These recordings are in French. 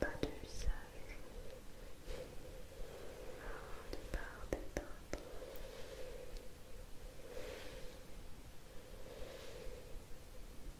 Pas de visage, de des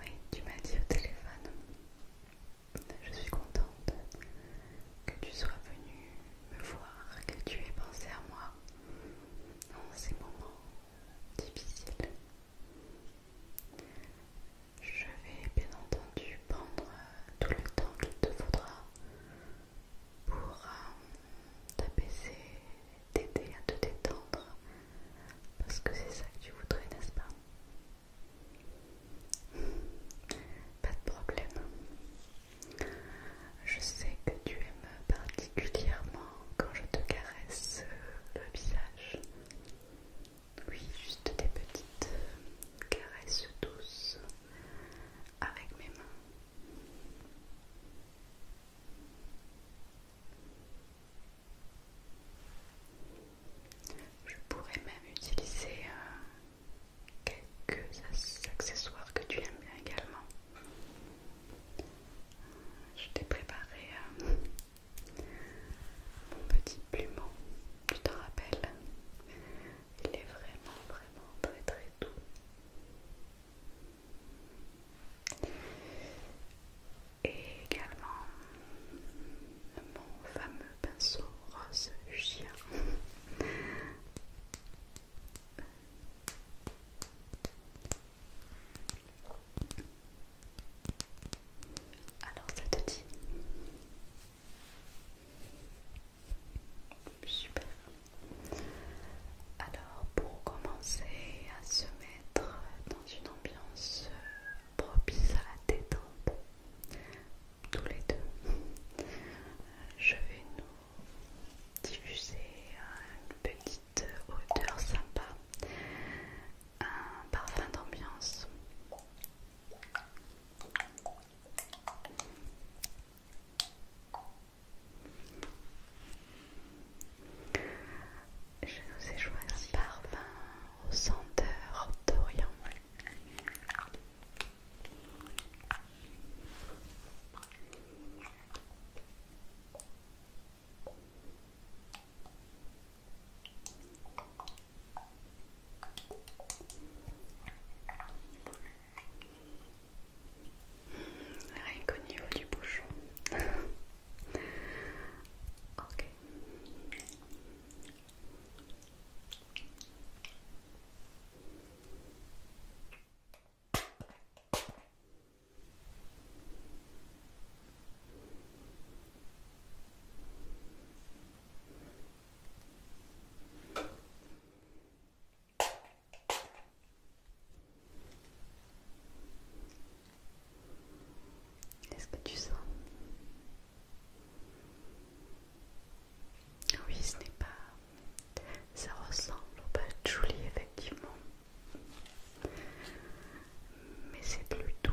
Oui, tu m'as dit au téléphone. Je suis contente que tu sois venue me voir, que tu aies pensé à moi dans ces moments difficiles. Je vais bien entendu prendre tout le temps qu'il te faudra pour euh, t'apaiser t'aider à te détendre parce que c'est ça que tu voudrais, n'est-ce pas Pas de problème. Je sais que tu aimes particulièrement quand je te caresse le visage. Oui, juste des petites caresses douces avec mes mains. Je pourrais même utiliser euh, quelques accessoires que tu aimes bien également. Euh, je t'ai préparé euh, mon petit pumon, tu t'en rappelles Il est vraiment, vraiment très, très doux. Et également mon fameux pinceau rose chien. Alors ça te dit Super. Alors pour commencer à se mettre dans une ambiance euh, propice à la détente, tous les deux, euh, je vais nous diffuser une petite odeur sympa, un parfum d'ambiance. Je nous ai choisi un parfum au senteurs d'Orient. Rien qu'au niveau du bouchon. Est-ce que tu sens Oui, ce n'est pas... Ça ressemble au Julie, effectivement. Mais c'est plus doux.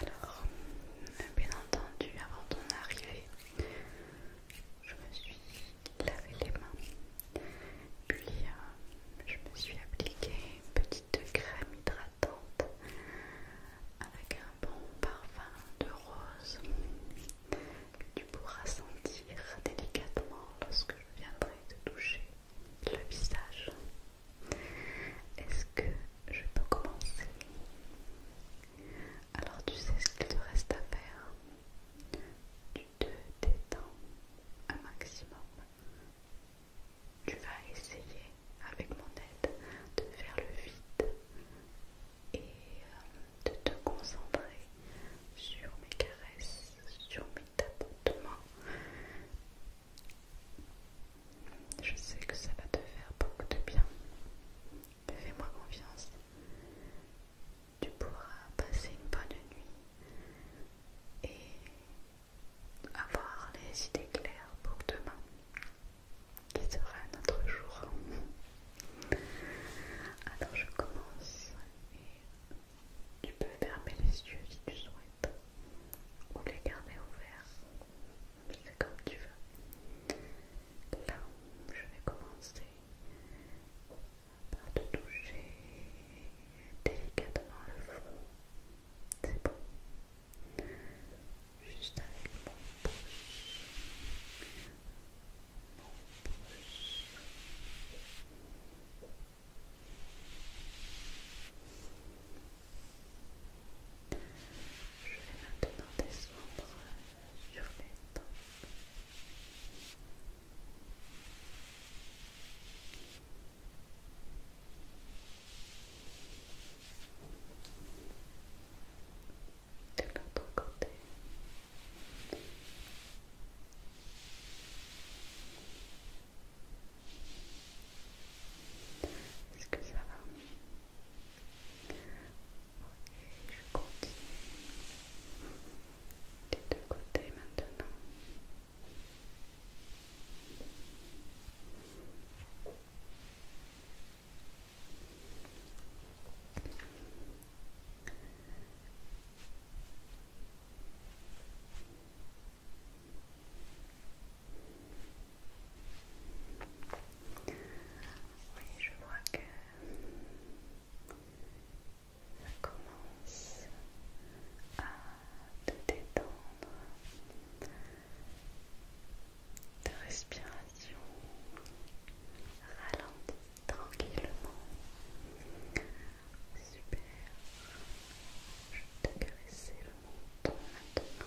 Alors, bien entendu, avant ton arrivée, je me suis lavé les mains, puis euh, je me suis appliqué une petite crème hydratante avec un bon parfum de rose que tu pourras sentir délicatement lorsque je viendrai te toucher le visage. Est-ce que je peux commencer. Alors tu sais ce qu'il te reste à faire. Tu te détends un maximum. Tu vas essayer avec mon aide de faire le vide et euh, de te concentrer sur mes caresses, sur mes tapotements je sais que ça va te faire beaucoup de bien. Fais-moi confiance. Tu pourras passer une bonne nuit et avoir les idées claires pour demain, qui sera notre jour. Alors je commence et tu peux fermer les yeux si tu souhaites ou les garder ouverts comme tu veux. Là, je vais commencer par te toucher délicatement le front. C'est bon. Juste avec mon Mon pouce. Je vais maintenant descendre violette. De l'autre côté. Est-ce que ça va je continue des deux côtés maintenant. Oui, je vois que ça commence à te détendre. Ta respiration ralentit tranquillement. Super. Je vais te caresser le menton maintenant.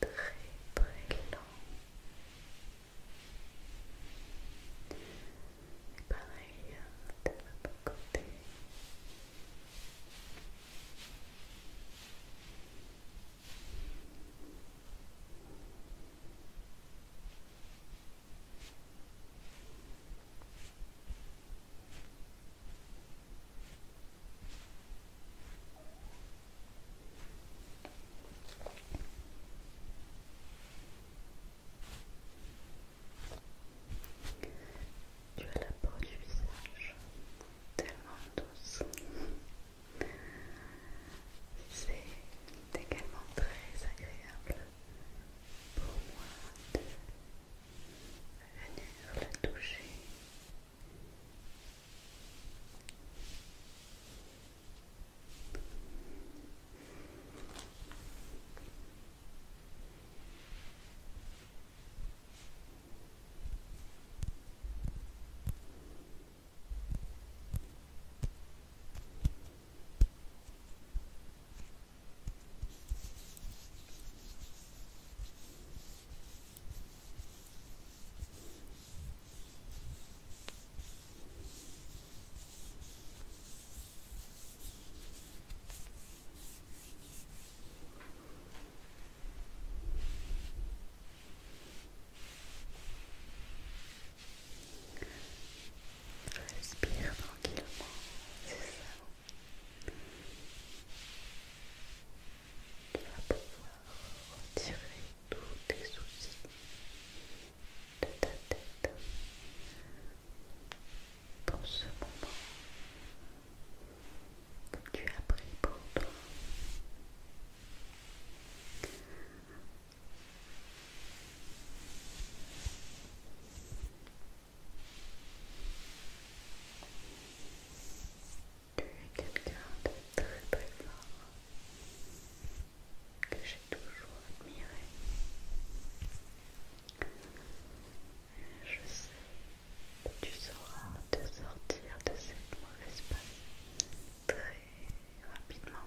très très lent. Pareil de l'autre côté. Très tu as la peau du visage tellement douce. C'est également très agréable pour moi venir la toucher. Respire tranquillement, c'est ça. Tu vas pouvoir retirer tous tes soucis de ta tête dans ce moment que tu as pris pour toi. Tu es quelqu'un de très très fort que j'ai toujours admiré. je sais que tu sauras te sortir de cette mauvaise espace très rapidement.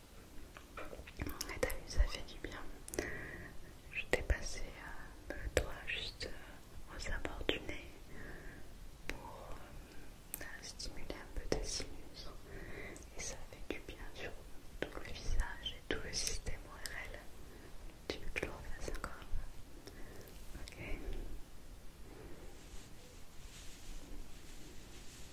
Et t'as vu, ça fait du bien. Je t'ai passé le euh, doigt juste au euh, aux du nez pour euh, stimuler un peu tes sinus. Et ça fait du bien sur tout le visage et tout le système ORL. Tu veux encore Ok.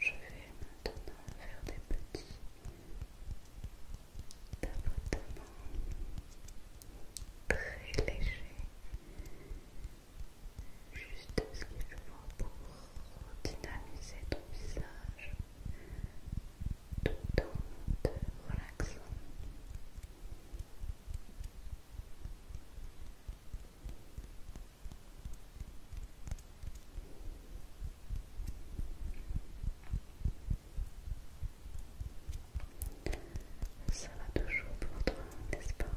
Je vais maintenant faire des petits tapotements très légers, juste ce qu'il faut pour dynamiser ton visage tout en te relaxant. Ça va toujours pour toi, n'est-ce pas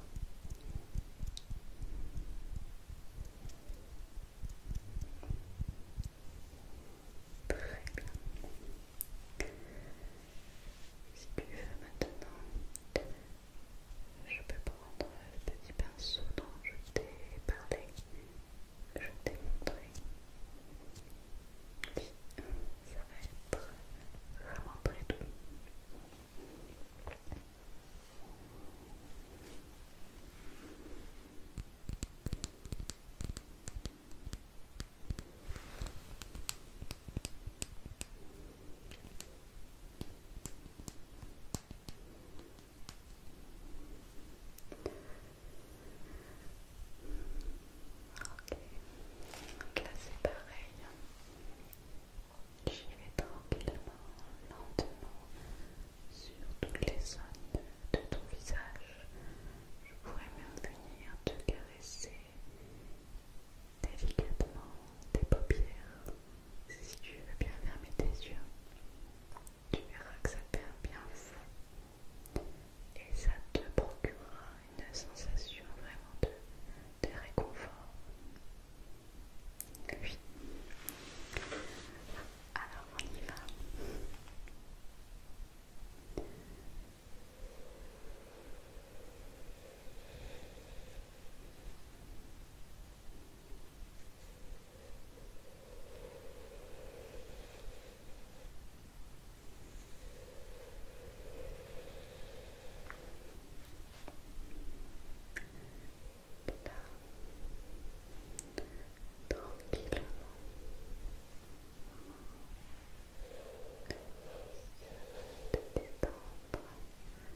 Très bien. Si tu veux maintenant, je peux prendre le petit pinceau dont je t'ai parlé, que je t'ai montré. ça va être vraiment très doux. Ok, donc là c'est pareil. J'y vais tranquillement, lentement, sur toutes les zones de ton visage. Je pourrais même venir te caresser délicatement tes paupières. Si tu veux bien fermer tes yeux, tu verras que ça perd bien fou et ça te procurera une sensation vraiment de, réconfort. Alors on y va. Là, tranquillement. détendre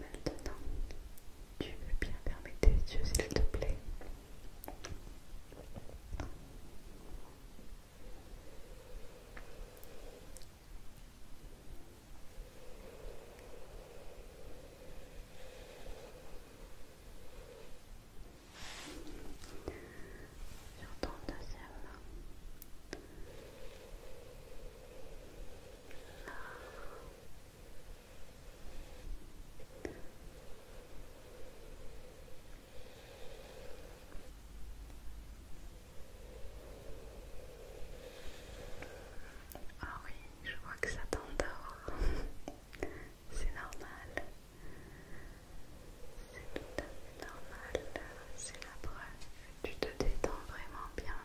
Maintenant, tu veux bien fermer tes yeux, s'il te plaît. Sur ton deuxième main. Ah oui, je vois que ça t'endort. C'est normal. C'est tout à fait normal. C'est la preuve. Tu te détends vraiment bien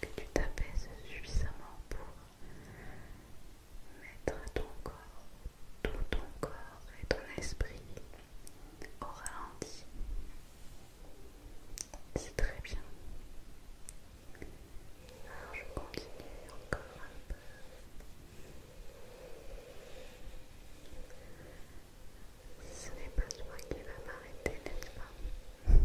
que tu t'apaises suffisamment pour mettre ton corps, tout ton corps et ton esprit au ralenti. C'est très bien. Alors je continue encore un peu. Ce n'est pas toi qui va m'arrêter, n'est-ce pas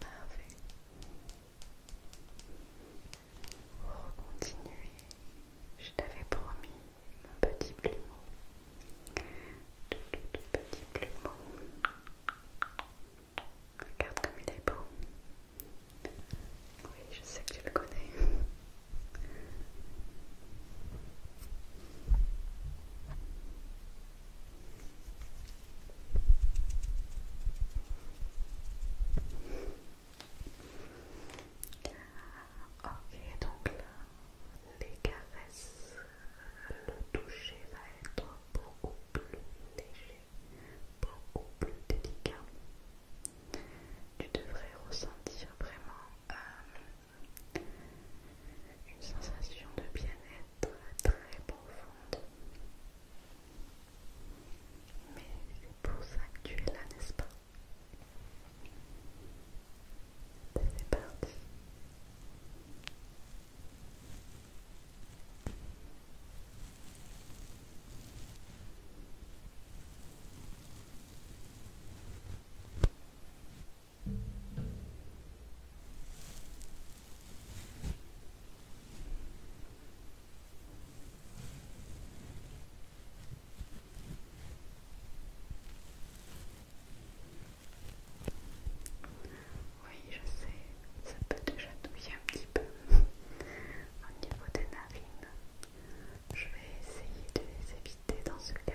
Parfait. Pour continuer, je t'avais promis mon petit plumeau. Tout, tout petit plumeau. Regarde comme il est beau. Oui, je sais que tu le connais. Ok, donc là, les caresses, le toucher va être beaucoup plus léger beaucoup plus délicat. Tu devrais ressentir vraiment euh, une sensation de bien-être très profonde. Mais c'est pour ça que tu es là, n'est-ce pas C'est parti. Oui, je sais, ça peut déjà touiller un petit peu au niveau des narines. Je vais essayer de les éviter dans ce cas.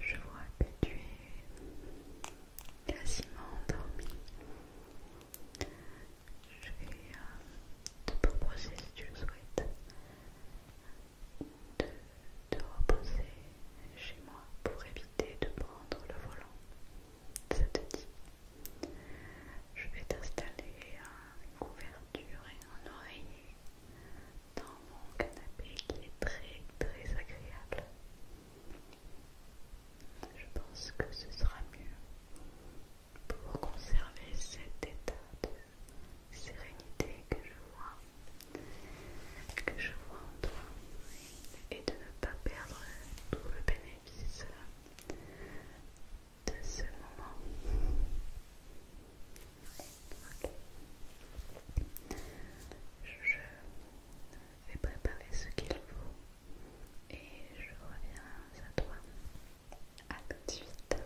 Je vois que tu es quasiment endormi. Je vais euh, te proposer, si tu le souhaites, de te reposer chez moi pour éviter de prendre le volant ça Je vais t'installer une couverture et un oreiller dans mon canapé qui est très très agréable. Je pense que ce sera mieux pour conserver cet état de sérénité que je vois, que je vois en toi et de ne pas perdre tout le bénéfice de ce moment. Je vais préparer ce qu'il faut et je reviens à toi. À tout de suite.